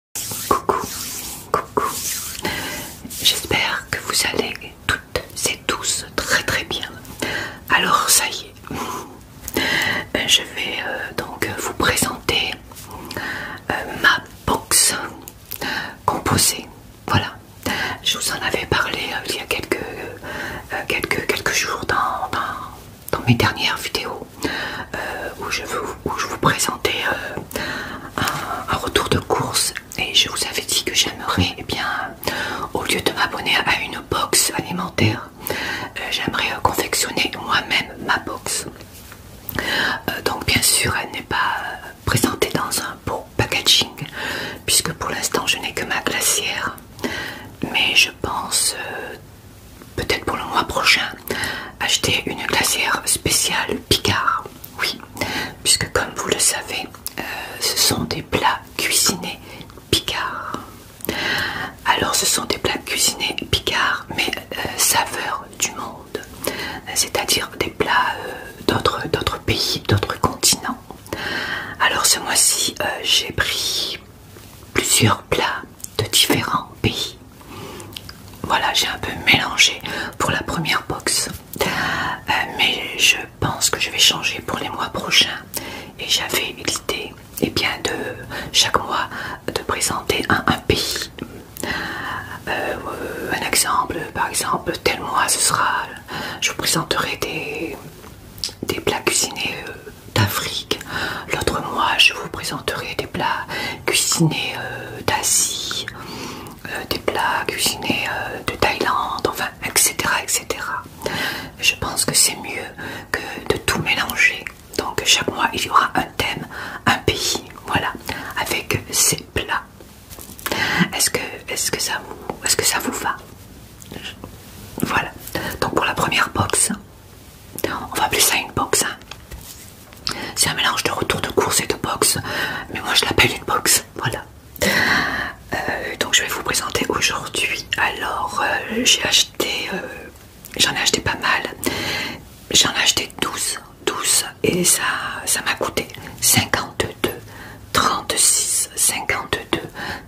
Coucou, coucou. J'espère que vous allez toutes et tous très très bien. Alors ça y est, euh, je vais euh, donc vous présenter euh, ma box composée. Voilà, je vous en avais parlé il y a quelques, quelques, quelques jours dans, dans mes dernières vidéos. Euh, où, je vous, je vous présentais euh, un, retour de course et je vous avais dit que j'aimerais, eh bien, au lieu de m'abonner à une box alimentaire, euh, j'aimerais confectionner moi-même ma box. donc bien sûr, elle n'est pas présentée dans un beau packaging puisque pour l'instant je n'ai que ma glacière mais je pense peut-être pour le mois prochain, acheter une glacière spéciale Picard. Oui, puisque comme vous le savez, euh, ce sont des plats cuisinés Picard. Alors ce sont des plats cuisinés Picard, mais euh, saveurs du monde. C'est-à-dire des plats euh, d'autres pays, d'autres continents. Alors ce mois-ci, j'ai pris plusieurs plats de différents pays. Voilà, j'ai un peu mélangé pour la première box, euh, mais je pense que je vais changer pour les mois prochains. Et j'avais l'idée, et eh bien, de chaque mois de présenter un, pays. Euh, euh, un exemple, par exemple, tel mois ce sera, je vous présenterai des, plats cuisinés d'Afrique. L'autre mois, je vous présenterai des plats cuisinés euh, d'Asie, euh, des plats cuisinés euh, de Thaïlande, enfin, etc. etc. Je pense que c'est mieux que de tout mélanger. Donc chaque mois, il y aura un thème, un pays, voilà, avec ces plats. Est-ce que, ça vous, que ça vous va Voilà. Donc pour la première box, on va appeler ça une box. Hein. C'est un mélange de retour de course et de boxe, mais moi je l'appelle une boxe. Voilà. Euh, donc je vais vous présenter aujourd'hui. Alors euh, j'ai acheté, euh, j'en ai acheté pas mal. J'en ai acheté 12, 12 et ça m'a coûté 52, 36, 52,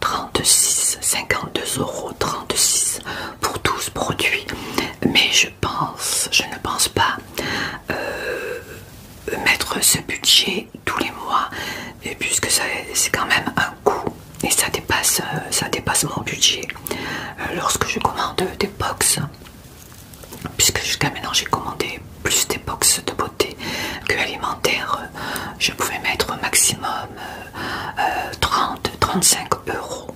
36, 52 euros, 36 pour 12 produits. Mais pense, je ne pense pas euh, mettre ce budget tous les mois, et puisque c'est quand même un coût et ça dépasse, euh, ça dépasse mon budget. Euh, lorsque je commande des box, puisque jusqu'à maintenant j'ai commandé plus des box de beauté que alimentaire, je pouvais mettre maximum 30-35 euros.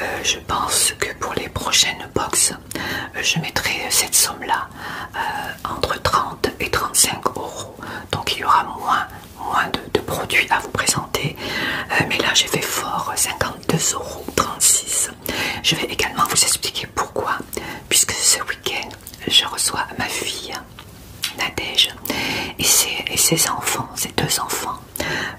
Euh, je pense que pour les prochaines box, euh, je mettrai cette somme-là euh, entre 30 et 35 euros. Donc il y aura moins, de, produits à vous présenter. mais là, j'ai fait fort 52,36 euros. Je vais également vous expliquer pourquoi, puisque ce week-end, je reçois ma fille. Nadège et ses enfants, ses deux enfants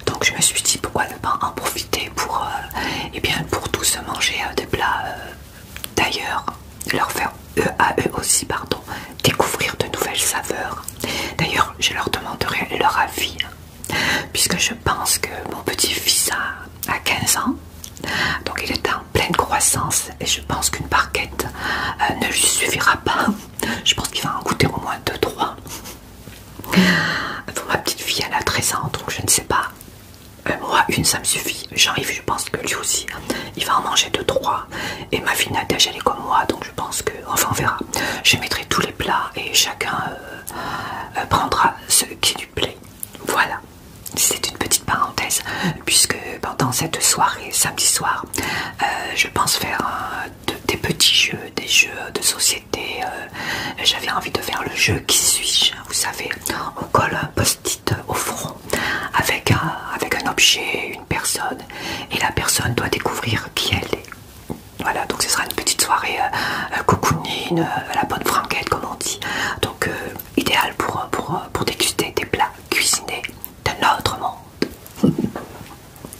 donc je me suis dit pourquoi ne pas en profiter pour, euh, eh bien, pour tous manger euh, des plats euh, d'ailleurs, leur faire à eux aussi pardon, découvrir de nouvelles saveurs. D'ailleurs je leur demanderai leur avis puisque je pense que mon petit-fils a, 15 ans. Donc il est en pleine croissance et je pense qu'une barquette ne lui suffira pas. Je pense qu'il va en goûter au moins 2-3 ma petite fille, elle a 13 ans, donc je ne sais pas. Euh, moi, une, ça me suffit. J'arrive, je pense que lui aussi, hein. il va en manger deux, trois. Et ma fille Nadège, elle est comme moi, donc je pense que. Enfin, on verra. Je mettrai tous les plats et chacun euh, euh, prendra ce qui lui plaît. Voilà. C'est une petite parenthèse, puisque pendant cette soirée, samedi soir, je pense faire des petits jeux, des jeux de société euh, j'avais envie de faire le jeu qui suis-je vous savez on colle un post-it au front avec un, avec un objet une personne et la personne doit découvrir qui elle est voilà donc ce sera une petite soirée euh, cocoonine, euh, la bonne franquette comme on dit donc idéal pour, pour, déguster des plats cuisinés d'un autre monde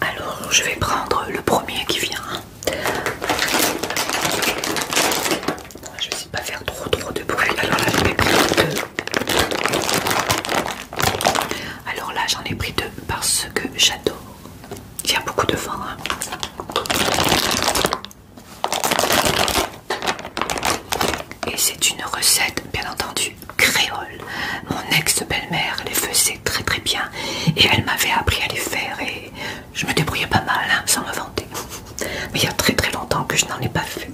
Alors je vais prendre le premier qui vient. je vais essayer de pas faire trop trop de bruit. Alors là j'en ai pris deux. Alors là j'en ai pris deux parce que j'adore. Il y a beaucoup de vent. Hein. Et c'est une recette bien entendu créole. Mon ex-belle-mère les faisait très très bien et elle m'avait appris à les faire et je me débrouillais pas mal hein, sans me vanter. Mais il y a très très longtemps que je n'en ai pas fait.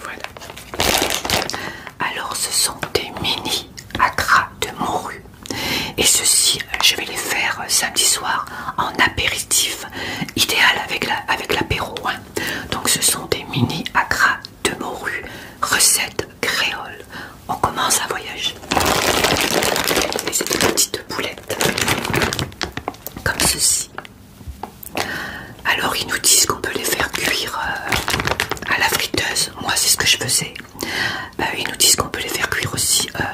Voilà. Alors ce sont des mini acras de morue. Et ceci, je vais les faire euh, samedi soir en apéritif, idéal avec l'apéro. La, avec hein. Donc ce sont des mini acras de morue, recette créole. On commence un voyage. Et c'est des petites boulettes, comme ceci. Alors ils nous disent qu'on peut les faire cuire euh, à la friteuse. Moi c'est ce que je faisais ils euh, nous disent qu'on peut les faire cuire aussi euh,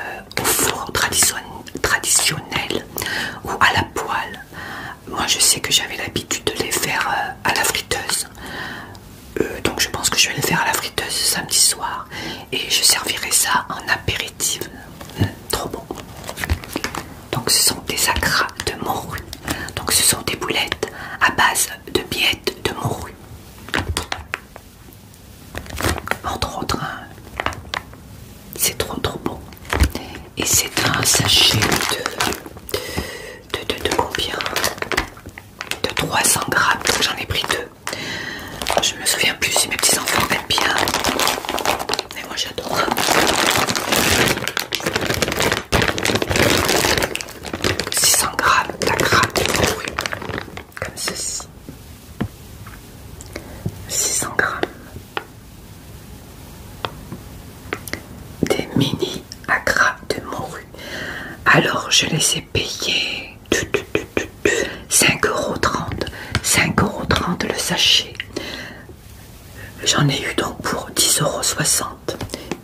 au four traditionnel ou à la poêle. Moi je sais que j'avais l'habitude de les faire euh, à la friteuse. donc je pense que je vais les faire à la friteuse samedi soir et je servirai ça en apéritif. Hum, trop bon. Donc ce sont des acras de morue. Donc ce sont des boulettes à base de billettes de morue. Entre autres, c'est trop trop bon. Et c'est un sachet de, de, combien De 300 grammes, j'en ai pris deux. Je me souviens plus si mes petits enfants aiment bien. Mais moi j'adore. 600 grammes, la gratte est pourrie comme ceci 600 grammes des mini agra de morue alors je les ai payés 5,30€ 5,30€ le sachet j'en ai eu donc pour 10,60€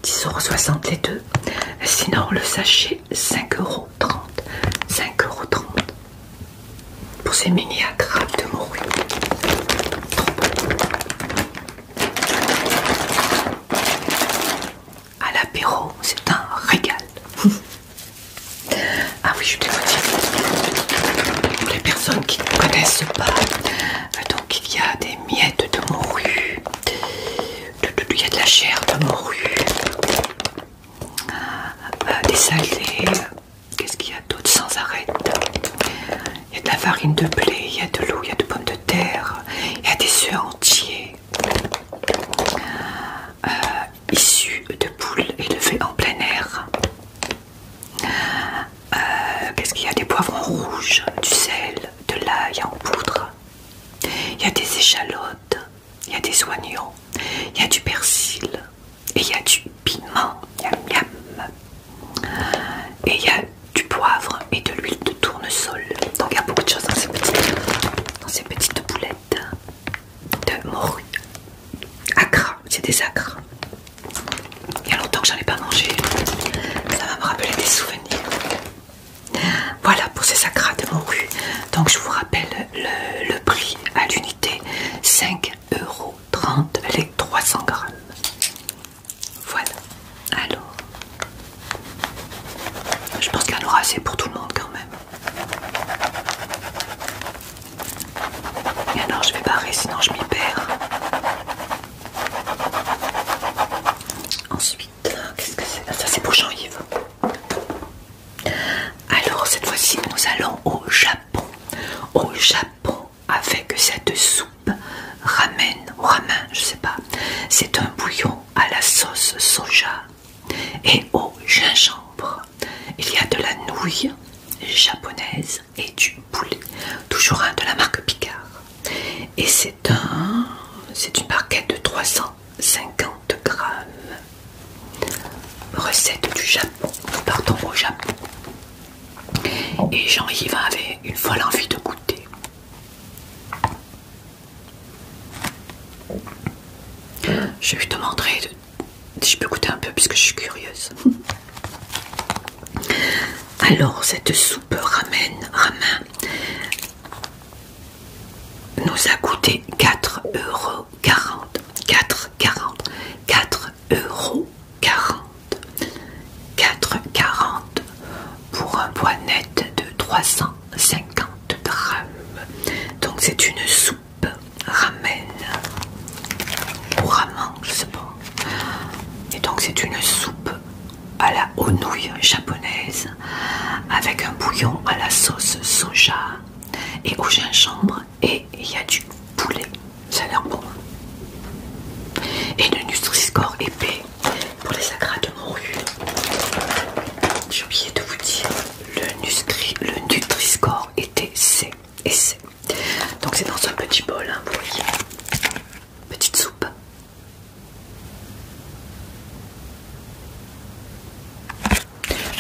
10,60€ les deux sinon le sachet 5,30€ 5,30€ pour ces mini de morue. À l'apéro, c'est un régal. ah oui, je te le Pour les personnes qui ne connaissent pas, euh, donc il y a des miettes de morue, il y a de la chair de morue, euh, euh, des salés, euh, qu'est-ce qu'il y a d'autre sans arrêt Il y a de la farine de blé, il y a de l'eau, il y a de pommes de terre, il y a des œufs entiers issus de poules élevées en plein air. Qu'est-ce qu'il y a Des poivrons rouges, du sel, de l'ail en poudre. Il y a des échalotes, il y a des oignons, il y a du persil, et il y a du piment, et il y a du poivre et de l'huile de tournesol. Donc il y a beaucoup de choses dans ces petites, ces petites boulettes de morue. Acra, c'est des acres. Il y a longtemps que j'en ai pas mangé, ça va me rappeler des souvenirs. Voilà pour ces acras de morue. Donc je vous rappelle le, prix à l'unité 5,30€ euros les 300 grammes. Voilà. Alors, je pense qu'il y en aura assez pour tout le monde quand même. Et alors je vais barrer sinon je m'y perds. Ensuite, qu'est-ce que c'est ah, Ça c'est pour Jean-Yves. Alors cette fois-ci nous allons au Japon. Au Japon avec cette soupe ramen ou ramen, je sais pas. C'est un bouillon à la sauce soja et au gingembre. Il y a de la nouille japonaise et du poulet, toujours un de la marque Picard. Et c'est un, c'est une barquette de 300 50 grammes. Recette du Japon. Nous partons au Japon. Et Jean-Yves avait une folle envie de goûter. Je lui demander si je peux goûter un peu puisque je suis curieuse. Alors cette soupe ramen, ramen nous a coûté 4 euros 40 4 euros 40 pour un poids net de 350 grammes donc c'est une soupe ramen ou ramen je sais pas et donc c'est une soupe à la honouille japonaise avec un bouillon à la sauce soja et au chambre et il y a du poulet. Ça a l'air bon. Et le Nutriscore épais pour les sacrates de J'ai oublié de vous dire, le, le Nutriscore était C et C. Donc c'est dans un petit bol, hein, vous voyez. Petite soupe.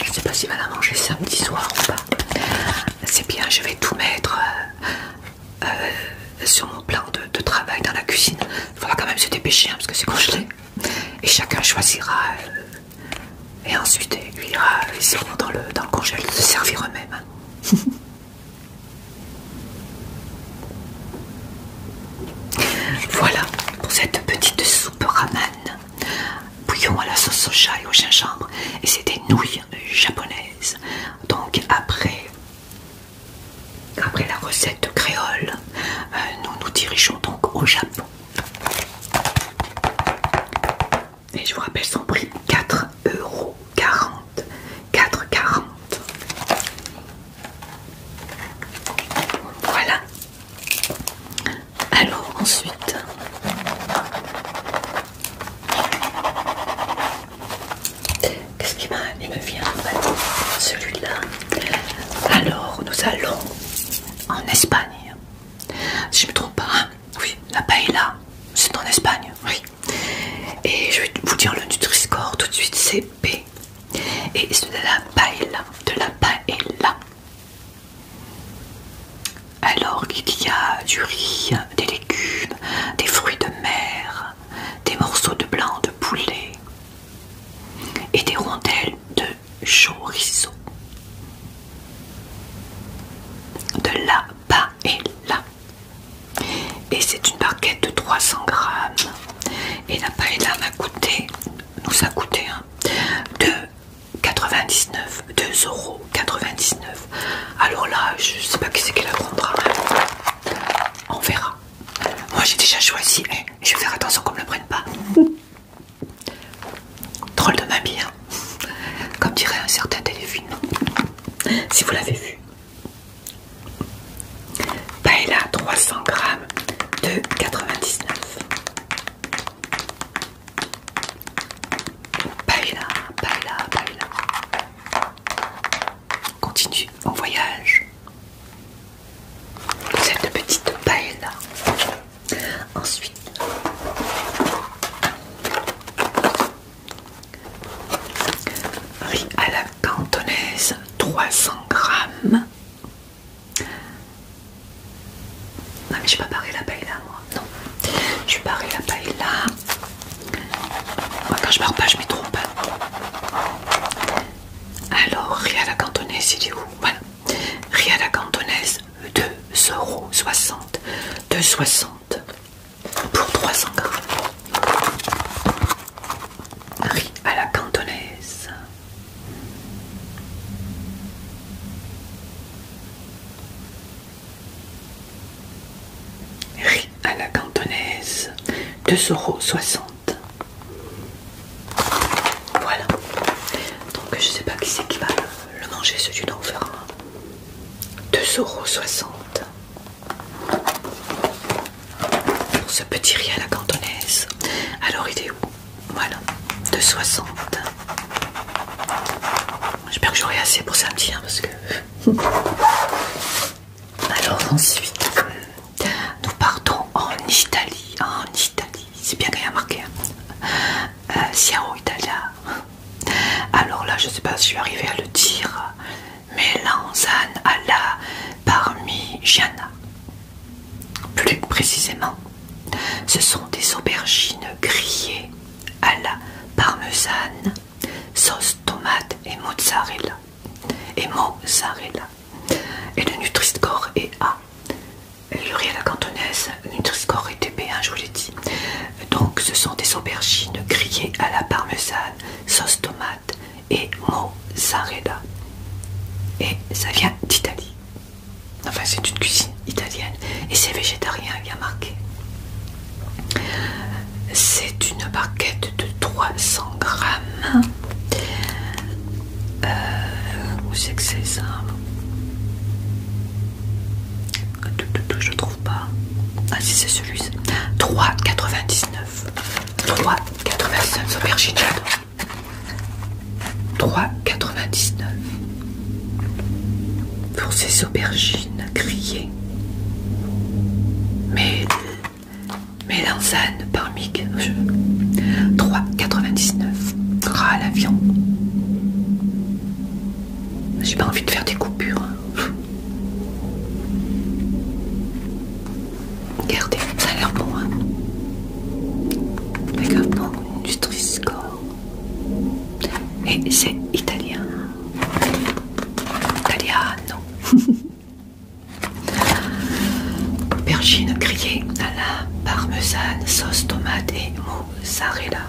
Je ne sais pas s'il va la manger samedi soir ou pas. C'est bien, je vais tout mettre euh, euh, sur mon plan de, travail dans la cuisine. Il faudra quand même se dépêcher hein, parce que c'est congelé. Et chacun choisira euh, et ensuite lui ira dans le, dans le se servir eux-mêmes. Hein. Voilà pour cette petite soupe ramen bouillon à la sauce soja et au gingembre et c'est des nouilles japonaises. Donc après, après la recette créole, euh, nous nous dirigeons donc au Japon. Et je vous rappelle son prix 4,40 euros. 4,40. Voilà. Alors ensuite, qu'est-ce qui m'a Il me vient celui-là. Alors nous allons en Espagne. Si je me trompe pas, hein oui, la paella, c'est en Espagne, oui. Et je vais vous dire le nutriscore tout de suite, c'est P. Et c'est de la paella, de la paella. Alors qu'il y a du riz, des légumes, des fruits de mer, des morceaux de blanc de poulet et des rondelles de chorizo, de la paella. Et c'est une barquette de 300 grammes. Et la paella m'a coûté, nous a coûté hein, de... 99, 99 Alors là, je sais pas qui c'est qui la prendra. On verra. Moi j'ai déjà choisi. et hein. je vais faire attention qu'on ne me le prenne pas. Drôle de ma bien hein. Comme dirait un certain téléphone. Si vous l'avez vu. Paella 300 grammes de 99. Paella, paella, paella. continue, mon voyage. Cette petite paella. Ensuite, riz à la cantonaise 300 grammes. Non mais je vais pas barrer la paille là moi. Non. Je la paille là. Moi quand je barre pas je m'y trompe. Hein. Alors riz à la cantonaise il est où Voilà. Riz à la cantonaise 2,60€. 2,60 pour 300 grammes. Riz à la cantonaise. Riz à la cantonaise, 2,60€. Voilà. Donc je sais pas qui c'est qui va le manger, ce là on verra. 2,60€ pour ce petit riz à la cantonaise. Alors il est où voilà, 2,60. J'espère que j'aurai assez pour samedi, hein, parce que... Alors ensuite, nous partons en Italie. En Italie, c'est bien qu'il y a marqué. Hein. Euh, Italia. Alors là, je sais pas si je vais arriver à le dire, mais Lanzane alla parmi Gianna. Plus précisément, ce sont des aubergines grillées à la parmesane, sauce tomate et mozzarella. Et mozzarella. Et le Nutri-Score est A. Le la cantonaise, Nutri-Score est b hein, je vous l'ai dit. Donc ce sont des aubergines grillées à la parmesane, sauce tomate et mozzarella. Et ça vient d'Italie. Enfin, c'est une cuisine italienne et c'est végétarien, Il y a marqué. C'est une barquette de 300 grammes. Euh, où c'est que c'est ça Je trouve pas. Ah, si c'est celui-ci. 3,99. 3,99 aubergine, j'adore. 3,99 pour ces aubergines grillées. Mais mélanzane parmi 3,99 ras à la J'ai pas envie de faire des coupures. Gardez, hein. Regardez, ça a l'air bon. Hein. D'accord, bon du Et c'est italien. Italiano. Bergine grillée à la parmesane, sauce tomate et mozzarella.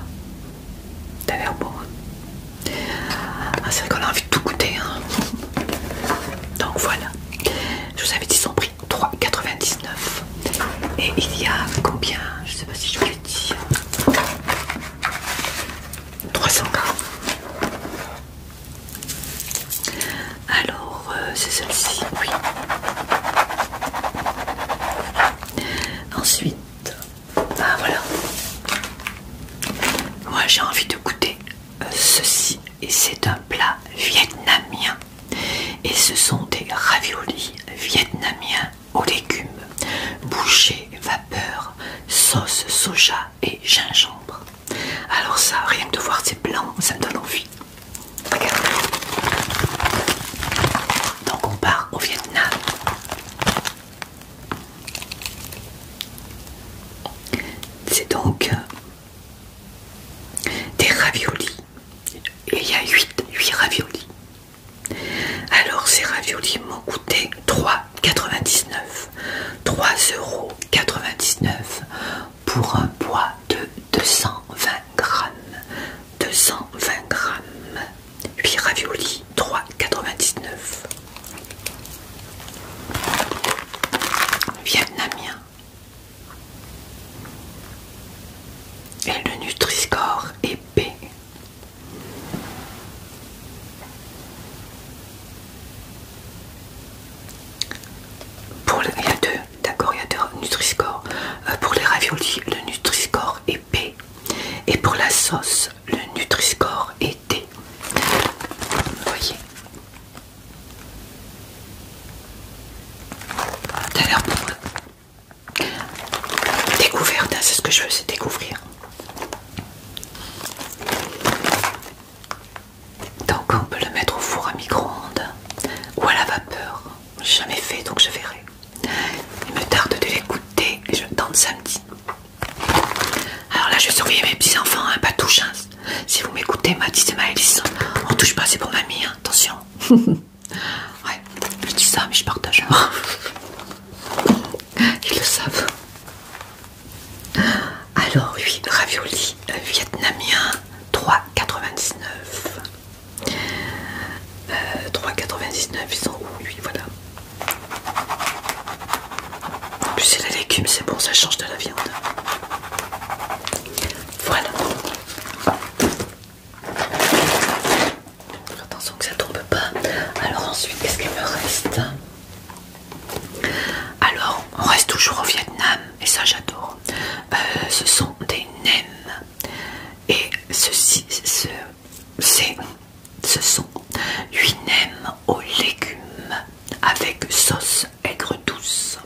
T'as l'air bon. Hein. Ah, c'est vrai qu'on a envie de tout goûter. Hein. Donc voilà. Je vous avais dit son prix. 3,99. Et il y a combien Je sais pas si je vous l'ai dit. 300 Alors, euh, c'est celle-ci, oui. Ensuite, ah voilà. Moi j'ai envie de goûter euh, ceci et c'est un plat vietnamien. Et ce sont des raviolis vietnamiens aux légumes, bouchés, vapeur, sauce soja et gingembre. Alors ça, rien que de voir c'est blanc, ça me donne envie. Donc on part au Vietnam. C'est donc euh, des raviolis et il y a 8, raviolis. Alors ces raviolis m'ont coûté 3,99 3,99€ pour un poids de 220 grammes. 220 grammes. 8 raviolis, 3,99 Vietnamien. Et le Nutriscore est B. Pour le, il y a deux, d'accord, il y a deux euh, pour les raviolis, le Nutriscore est B. Et pour la sauce, le Nutriscore est D. Vous voyez a l'air bon. Découverte, hein, c'est ce que je veux, c'est découvrir. Donc on peut le mettre au four à micro-ondes ou à la vapeur. J'ai jamais fait donc je verrai. Il me tarde de l'écouter et je tente samedi. Alors là je vais surveiller mes petits enfants, hein, pas touche. Hein. Si vous m'écoutez, ma et Maëlys, on touche pas, c'est pour mamie, attention. Ouais, je dis ça, mais je partage. Hein. Ils le savent. Alors, oui, ravioli euh, vietnamien 3,99. 3,99, euh, ils sont oui, voilà. En plus, c'est la légume, c'est bon, ça change de la viande. Voilà. Attention que ça tombe pas. Alors ensuite, qu'est-ce qu'il me reste Alors, on reste toujours au Vietnam et ça j'adore. Euh, ce sont des nems et ceci, ce, ce sont 8 nems aux légumes avec sauce aigre douce.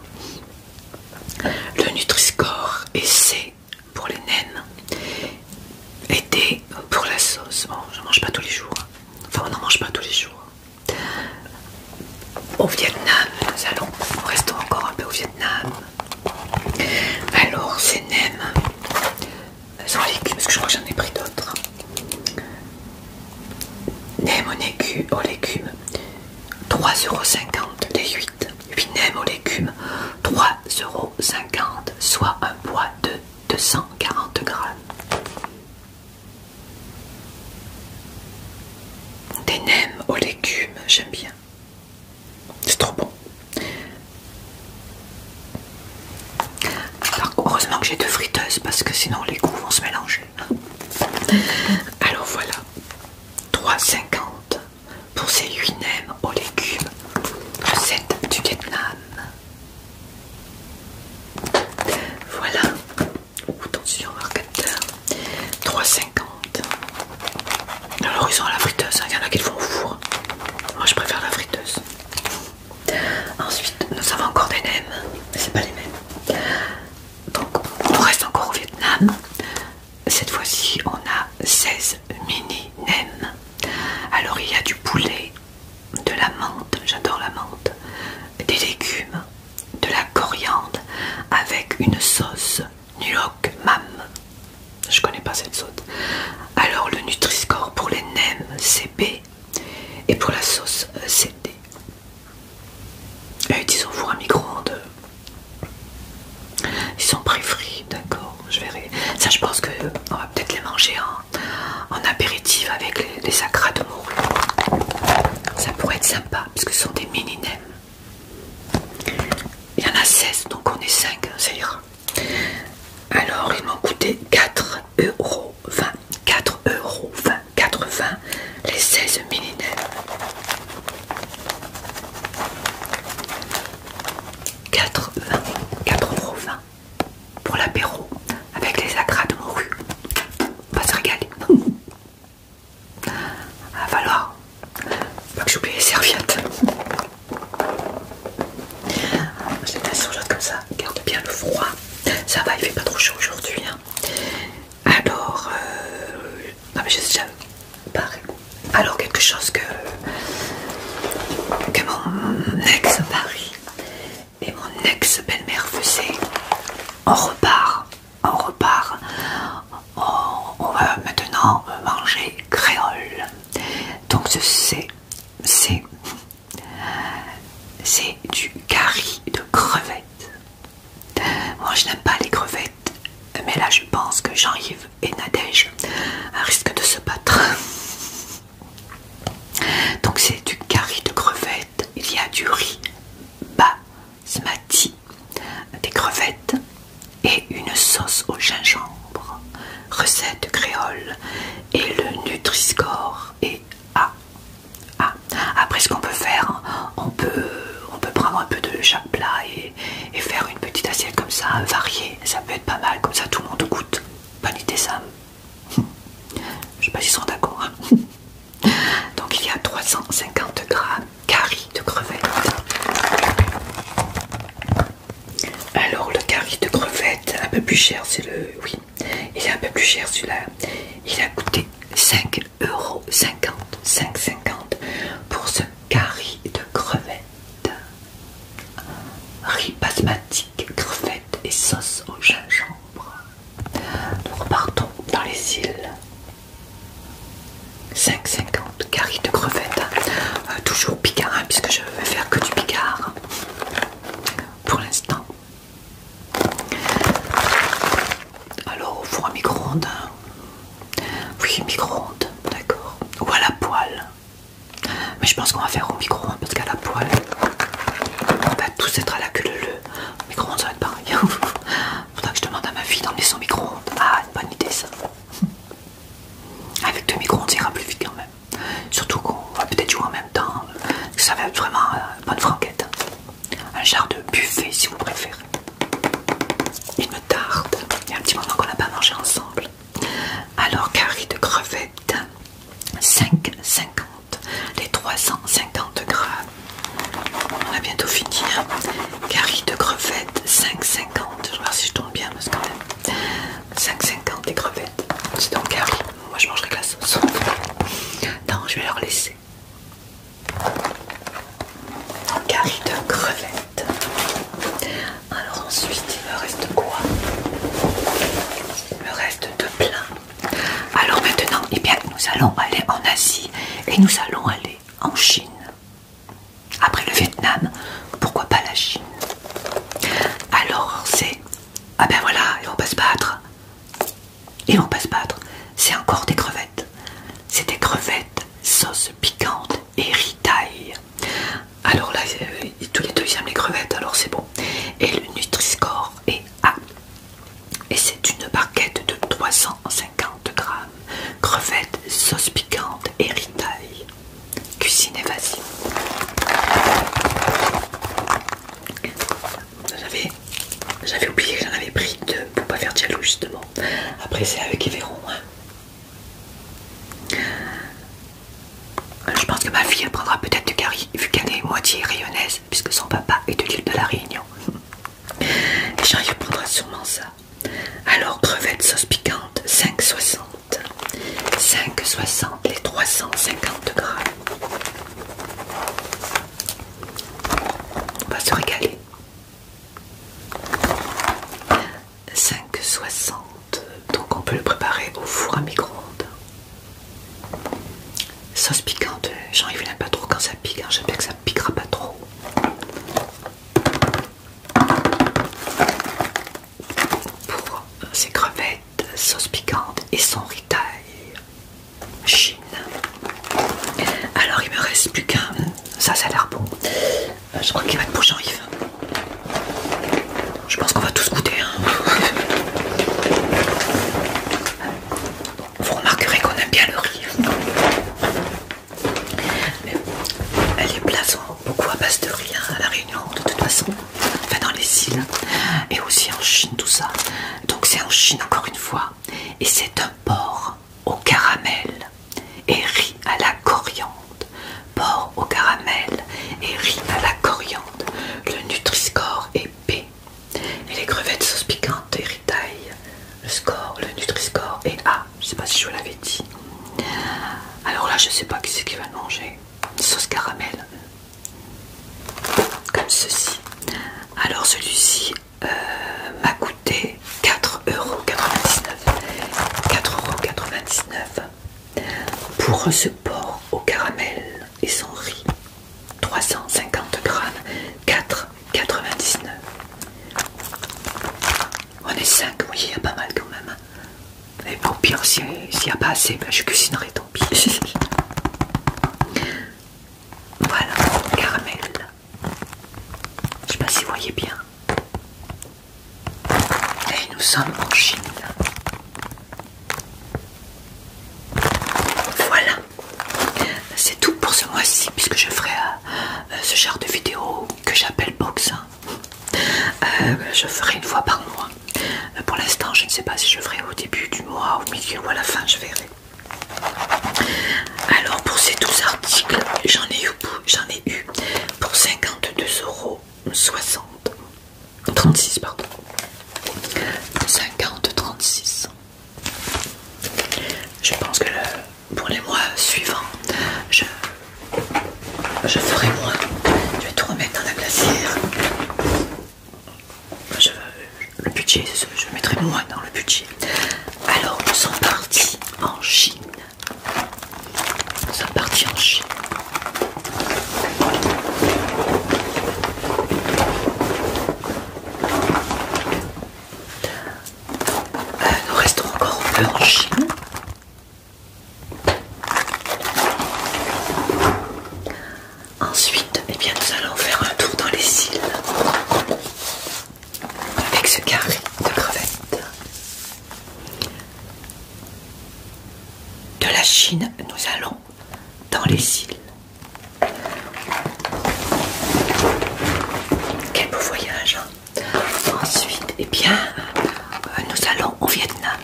Le Nutri-Score est C pour les nems et des pour la sauce. Bon, je mange pas tous les jours. Enfin, on n'en mange pas tous les jours. Au Vietnam, nous allons, restons encore un peu au Vietnam. Alors, ces nems sans légumes, parce que je crois que j'en ai pris d'autres. Nem au légumes, 3,50€ Les 8 nems aux légumes, 3,50 soit un poids de 240 grammes. Des nems aux légumes, j'aime bien. C'est trop bon. heureusement que j'ai deux friteuses parce que sinon les goûts vont se mélanger. Alors voilà, 3,50 pour ces 8 même aux légumes. Recette du Vietnam. Voilà. Attention, marqueur. 3,50. Alors, ils ont la friteuse. Hein. Il y en a qui le font au four. Moi, je préfère la friteuse. Ensuite, nous avons encore des nems. C'est pas les mêmes. Donc, on reste encore au Vietnam cette fois-ci on a 16 mini nem Alors il y a du poulet, de la menthe, j'adore la menthe, des légumes, de la coriandre avec une sauce nuoc mam. Je connais pas cette sauce. Alors le nutri pour les nems c'est B et pour la sauce euh, c'est D. Utilisons-vous euh, un micro-ondes ils sont préférés d'accord, je verrai. Ça, je pense qu'on va peut-être les manger en, apéritif avec les, les de morue. Ça pourrait être sympa, parce que ce sont des mini Il y en a 16, donc on est 5, hein, ça ira. Alors, ils m'ont coûté 4 euros 20, 4 euros 20, les 16 mini 4,20€ pour l'apéro avec les agrades de On va se régaler. Va falloir pas que j'oublie les serviettes. C'est les mets comme ça, garde bien le froid. Ça va, il fait pas trop chaud aujourd'hui. Hein. Alors, euh, non mais je sais jamais alors quelque chose que, mon ex Paris et mon ex-belle-mère faisaient. On repart, on repart, on, va maintenant manger créole. Donc ce c'est, c'est du curry de crevettes. Moi je n'aime pas les crevettes mais là, je pense que Jean-Yves et Nadège risquent de se battre. Donc, c'est du curry de crevettes. Il y a du riz basmati, des crevettes et une sauce au gingembre. Recette créole et le Nutriscore et A. Après, ce qu'on peut faire, on peut, prendre un peu de, plat et, faire une petite assiette comme ça, variée. Ça peut être pas mal, comme ça tout le monde goûte. du idée, ça Je sais pas s'ils sont d'accord. Hein. Donc il y a 350 grammes curry de crevette Alors le curry de crevette un peu plus cher, c'est le... Oui, il est un peu plus cher celui-là. Il a coûté cinq 5,50 pour ce caries de crevettes, riz basmatique, crevettes et sauce au gingembre. Nous repartons dans les îles. 5,50 caries de crevettes, euh, toujours picard hein, puisque je ne vais faire que du picard pour l'instant. Alors au four à micro-ondes, oui, micro-ondes, d'accord. Ou à la poêle. Mais je pense qu'on va faire au micro-ondes parce qu'à la poêle, on va tous être à la queue le. Au micro-ondes, ça va être pareil. Faudra que je demande à ma fille d'emmener son micro-ondes. Ah, une bonne idée ça. Avec deux micro-ondes, ça ira plus vite quand même. Surtout qu'on va peut-être jouer en même temps. Ça va être vraiment une euh, bonne franquette. Un genre de buffet si vous préférez. Il me tarde. Il y a un petit moment qu'on n'a pas mangé ensemble. Alors, curry de crevettes, 5,50. Les 350 grammes. On a bientôt finir. Hein. Curry de crevettes, 5,50. Je vais voir si je tombe bien, parce que quand 5,50 des crevettes. C'est donc Carrie. Moi, je mangerai que la sauce. Non, je vais leur laisser. Curry de crevettes. Alors ensuite, il me reste quoi Il me reste de plein Alors maintenant, eh bien, nous allons aller en Asie et nous allons aller en Chine. Après le Vietnam, pourquoi pas la Chine Alors c'est... Ah ben voilà, ils vont pas se battre. Et vont pas se battre. C'est encore des crevettes. C'est des crevettes sauce piquante et ritaille. Alors là, euh, tous les deux ils aiment les crevettes, alors c'est bon. Et le nutri est A. Et c'est une barquette de 350 grammes. Crevettes, sauce piquante et ritaille. Cuisine et vas-y. J'avais oublié que j'en avais pris deux pour pas faire de jaloux justement. Après c'est avec Everon. verrons. Hein. Euh, je pense que ma fille prendra peut-être du curry vu qu'elle est moitié rayonnaise puisque son papa est de l'île de la Réunion. Et répondrai sûrement ça. Alors crevettes sauce piquante 5,60. 5,60 les 350 grammes. On va se régaler. 5,60 donc on peut le préparer au four à micro-ondes. Sauce piquante, J'en vu pas trop quand ça pique, hein. J'espère que ça piquera pas trop. Pour ses crevettes, sauce piquante et son ritaille Chine. Alors il me reste plus qu'un, ça ça a l'air bon, euh, je crois qu'il va être pour Jean-Yves. Je pense qu'on va tous goûter. Hein. Vous remarquerez qu'on aime bien le riz. Mais les plats beaucoup à base de riz hein, à la Réunion, de toute façon. Enfin, dans les îles et aussi en Chine, tout ça. Donc, c'est en Chine encore une fois. Et c'est un porc au caramel et riz à la coriandre. Porc au caramel et riz à la coriandre. Le Nutriscore score est B. Et les crevettes sauce piquante et ritaille. Le score, le Nutriscore score est A. Je sais pas si je vous l'avais dit. Alors là, je sais pas qui c'est qui va manger. Sauce caramel. Comme ceci. Alors celui-ci euh, m'a coûté 4,99€. 4,99€ pour ce porc au caramel et son riz. 350 grammes, 4,99€. On est 5, il y a pas mal quand même. Et pour pire, s'il n'y a pas assez, ben, je cuisinerai tant pis. voilà, caramel je sais pas si vous voyez bien. Et eh, nous sommes en Chine. Voilà, c'est tout pour ce mois-ci puisque je ferai euh, euh, ce genre de vidéo que j'appelle box. Euh, je ferai une fois par mois. Pour l'instant, je ne sais pas si je ferai au début du mois, au milieu ou à la fin, je verrai. Alors pour ces 12 articles, j'en ai, eu pour 52 euros 60 36 pardon 50 36 je pense que pour les mois suivants je, je ferai moins je vais tout remettre dans la glacière je, le budget je mettrai moins dans le budget alors nous sommes partis en Chine nous sommes partis en Chine. Euh, nous restons encore un peu en Chine. Ensuite, eh bien, nous allons faire un tour dans les îles avec ce carré de crevettes. De la Chine, nous allons dans les îles. Quel beau voyage hein. Ensuite, eh bien, euh, nous allons au Vietnam.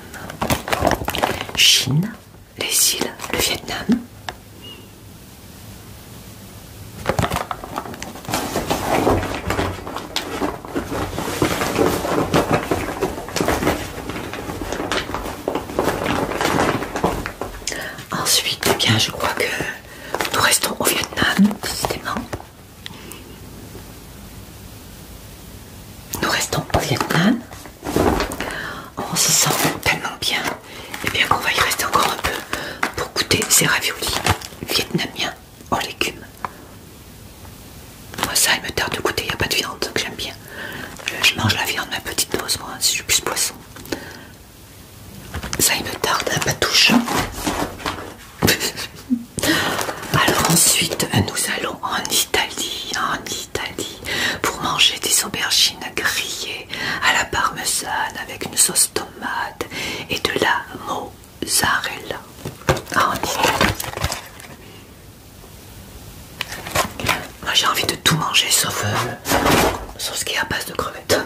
Chine, les îles, le Vietnam. Ensuite, bien, je crois que nous restons au Vietnam, Nous restons au Vietnam. On se sent tellement bien. Et bien qu'on va y rester encore un peu pour goûter ces raviolis vietnamiens aux oh, légumes. Moi ça il me tarde de goûter, il n'y a pas de viande, donc j'aime bien. Je, mange la viande, ma petite dose, moi, si je suis plus poisson. Ça il me tarde, à pas touche. Alors ensuite, nous allons en Italie, en Italie, pour manger des aubergines grillées à la parmesan avec une sauce tomate et de la mo Zarella Ah, Moi j'ai envie de tout manger sauf, euh, sauf ce qui est à base de crevettes.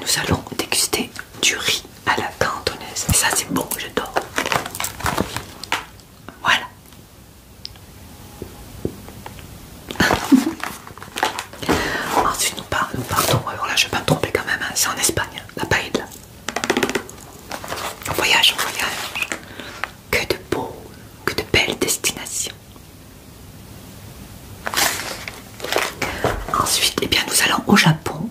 Nous allons déguster du riz à la cantonaise. Et ça c'est bon, j'adore. Voilà. Ensuite nous, partons. Alors là je vais pas me tromper quand même, hein. c'est en Espagne la là. On voyage, on voyage. Que de beaux, que de belles destinations. Ensuite, eh bien, nous allons au Japon.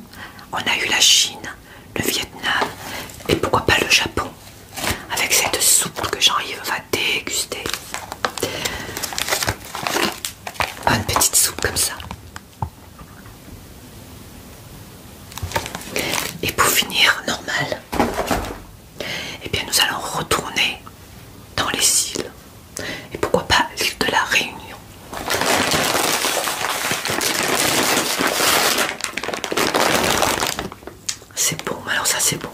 On a eu la Chine, le Vietnam et pourquoi pas le Japon avec cette soupe que Jean-Yves va déguster. Une petite soupe comme ça. Et pour finir, normal, eh bien nous allons retourner dans les îles. Et pourquoi pas l'île de la Réunion. C'est bon, alors ça c'est bon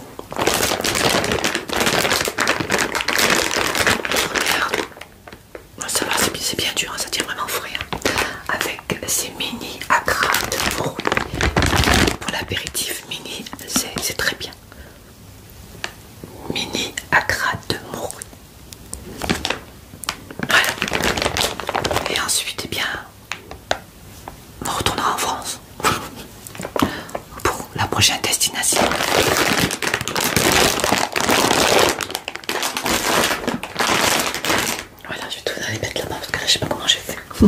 ça va, c'est bien dur, hein, ça tient vraiment frais. Hein. Avec ces mini accras de morue pour l'apéritif mini, c'est très bien. Mini accras de morue. Voilà. Et ensuite, eh bien, on retournera en France pour la prochaine destination. Voilà, je vais tout aller mettre là-bas parce que je sais pas comment j'ai fait.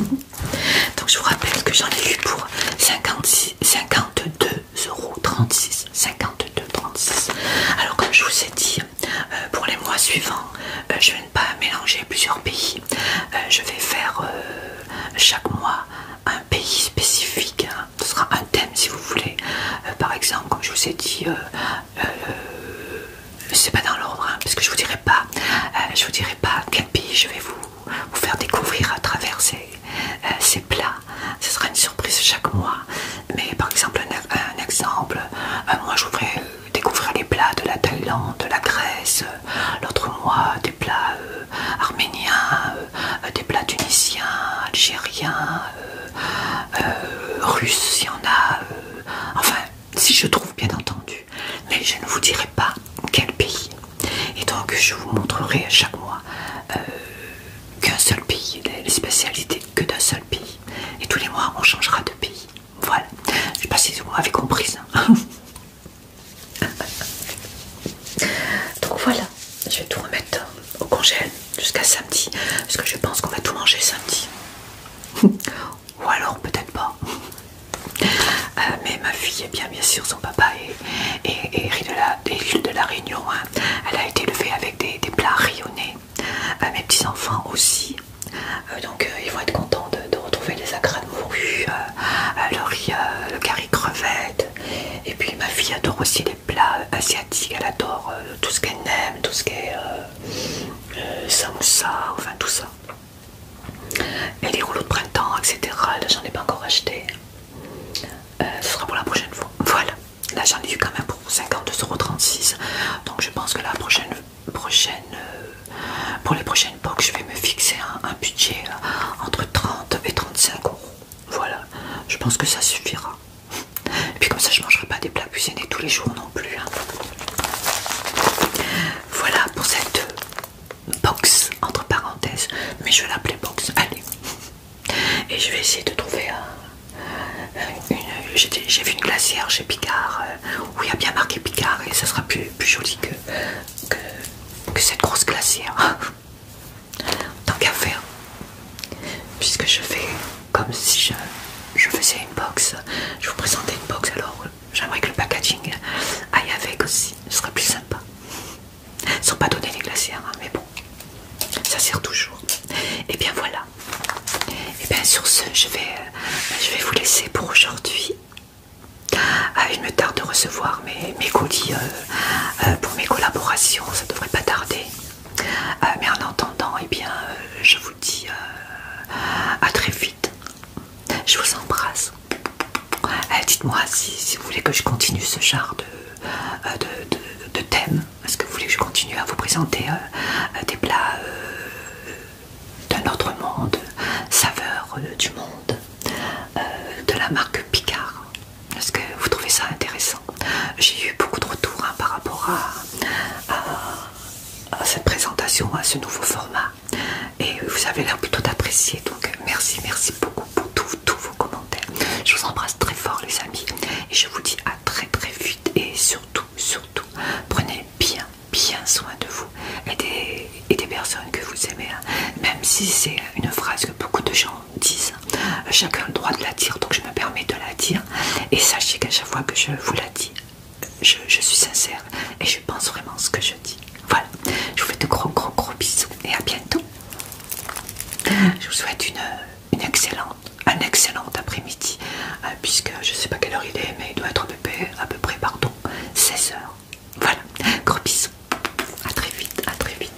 Donc, je vous rappelle que j'en ai eu pour 56, 52 euros 52 36. Alors, comme je vous ai dit, euh, pour les mois suivants, euh, je vais ne pas mélanger plusieurs pays. Euh, je vais faire chaque mois un pays spécifique, hein ce sera un thème si vous voulez. Euh, par exemple, comme je vous ai dit, euh, euh, c'est pas dans l'ordre, hein, parce que je vous dirais pas, je vous dirai pas quel pays je vais vous, vous faire découvrir à travers ces, plats. Ce sera une surprise chaque mois. Mais par exemple, un, exemple, un je voudrais découvrir les plats de la Thaïlande, de la Grèce, l'autre mois des plats arméniens, des plats tunisiens, algériens. Euh, russe russes, il y en a... Euh, enfin, si je trouve bien entendu. Mais je ne vous dirai pas quel pays. Et donc je vous montrerai chaque mois euh, qu'un seul pays, les spécialités que d'un seul pays. Et tous les mois on changera de pays. Voilà. Je sais pas si vous avez compris donc voilà, je vais tout remettre au congé jusqu'à samedi parce que je pense qu'on va tout manger samedi ou alors peut-être pas euh, mais ma fille est bien bien sûr son papa est, de la, de la Réunion hein. elle a été élevée avec des, plats rayonnés à euh, mes petits enfants aussi euh, donc ils vont être contents de, retrouver les agrumes de le le curry crevette. Et puis ma fille adore aussi les plats asiatiques, elle adore euh, tout ce qu'elle aime, tout ce qui est euh, euh, enfin tout ça. Et les rouleaux de printemps, etc. Là, j'en ai pas encore acheté. ce sera pour la prochaine fois. Voilà. Là, j'en ai eu quand même pour 52,36€. Donc, je pense que la prochaine, prochaine pour les prochaines box, je vais me fixer un, budget entre 30 et 35 euros. Voilà. Je pense que ça suffira. Et puis comme ça, je ne mangerai pas des plats cuisinés tous les jours non plus. Hein. Voilà pour cette box entre parenthèses, mais je vais l'appeler box. Allez, et je vais essayer de trouver J'ai vu une glacière chez Picard euh, où il y a bien marqué Picard et ça sera plus, joli que, que cette grosse glacière tant qu'à faire, puisque je fais comme si je, faisais une box, je vous présentais une box alors j'aimerais que le packaging aille avec aussi, ce serait plus sympa. Sans pas donner les glaciers hein, mais bon, ça sert toujours. Et eh bien voilà. Et eh bien sur ce, je vais, euh, je vais vous laisser pour aujourd'hui. Ah, il me tarde de recevoir mes, colis euh, euh, pour mes collaborations, ça devrait pas tarder. Euh, mais en attendant, eh bien, euh, je vous dis euh, à très vite. Je vous embrasse. Dites-moi si, vous voulez que je continue ce genre de, thème. Est-ce que vous voulez que je continue à vous présenter des plats d'un autre monde, saveurs du monde, de la marque Picard est-ce que vous trouvez ça intéressant J'ai eu beaucoup de retours hein, par rapport à, cette présentation, à ce nouveau format. Et vous avez l'air plutôt d'apprécier. Donc merci, merci beaucoup pour tous vos commentaires. Je vous embrasse très fort les amis. Et je vous dis à très très vite. Et surtout, surtout, prenez bien, bien soin de vous et des, personnes que vous aimez. Hein. Même si c'est une phrase que beaucoup de gens Disent, Chacun a le droit de la dire, donc je me permets de la dire. Et sachez qu'à chaque fois que je vous la dis, je, suis sincère et je pense vraiment ce que je dis. Voilà, je vous fais de gros gros gros bisous et à bientôt. Je vous souhaite une, excellente, un excellent après-midi, euh, puisque je sais pas quelle heure il est, mais il doit être à peu près, à peu près pardon, 16h. Voilà, gros bisous, à très vite, à très vite.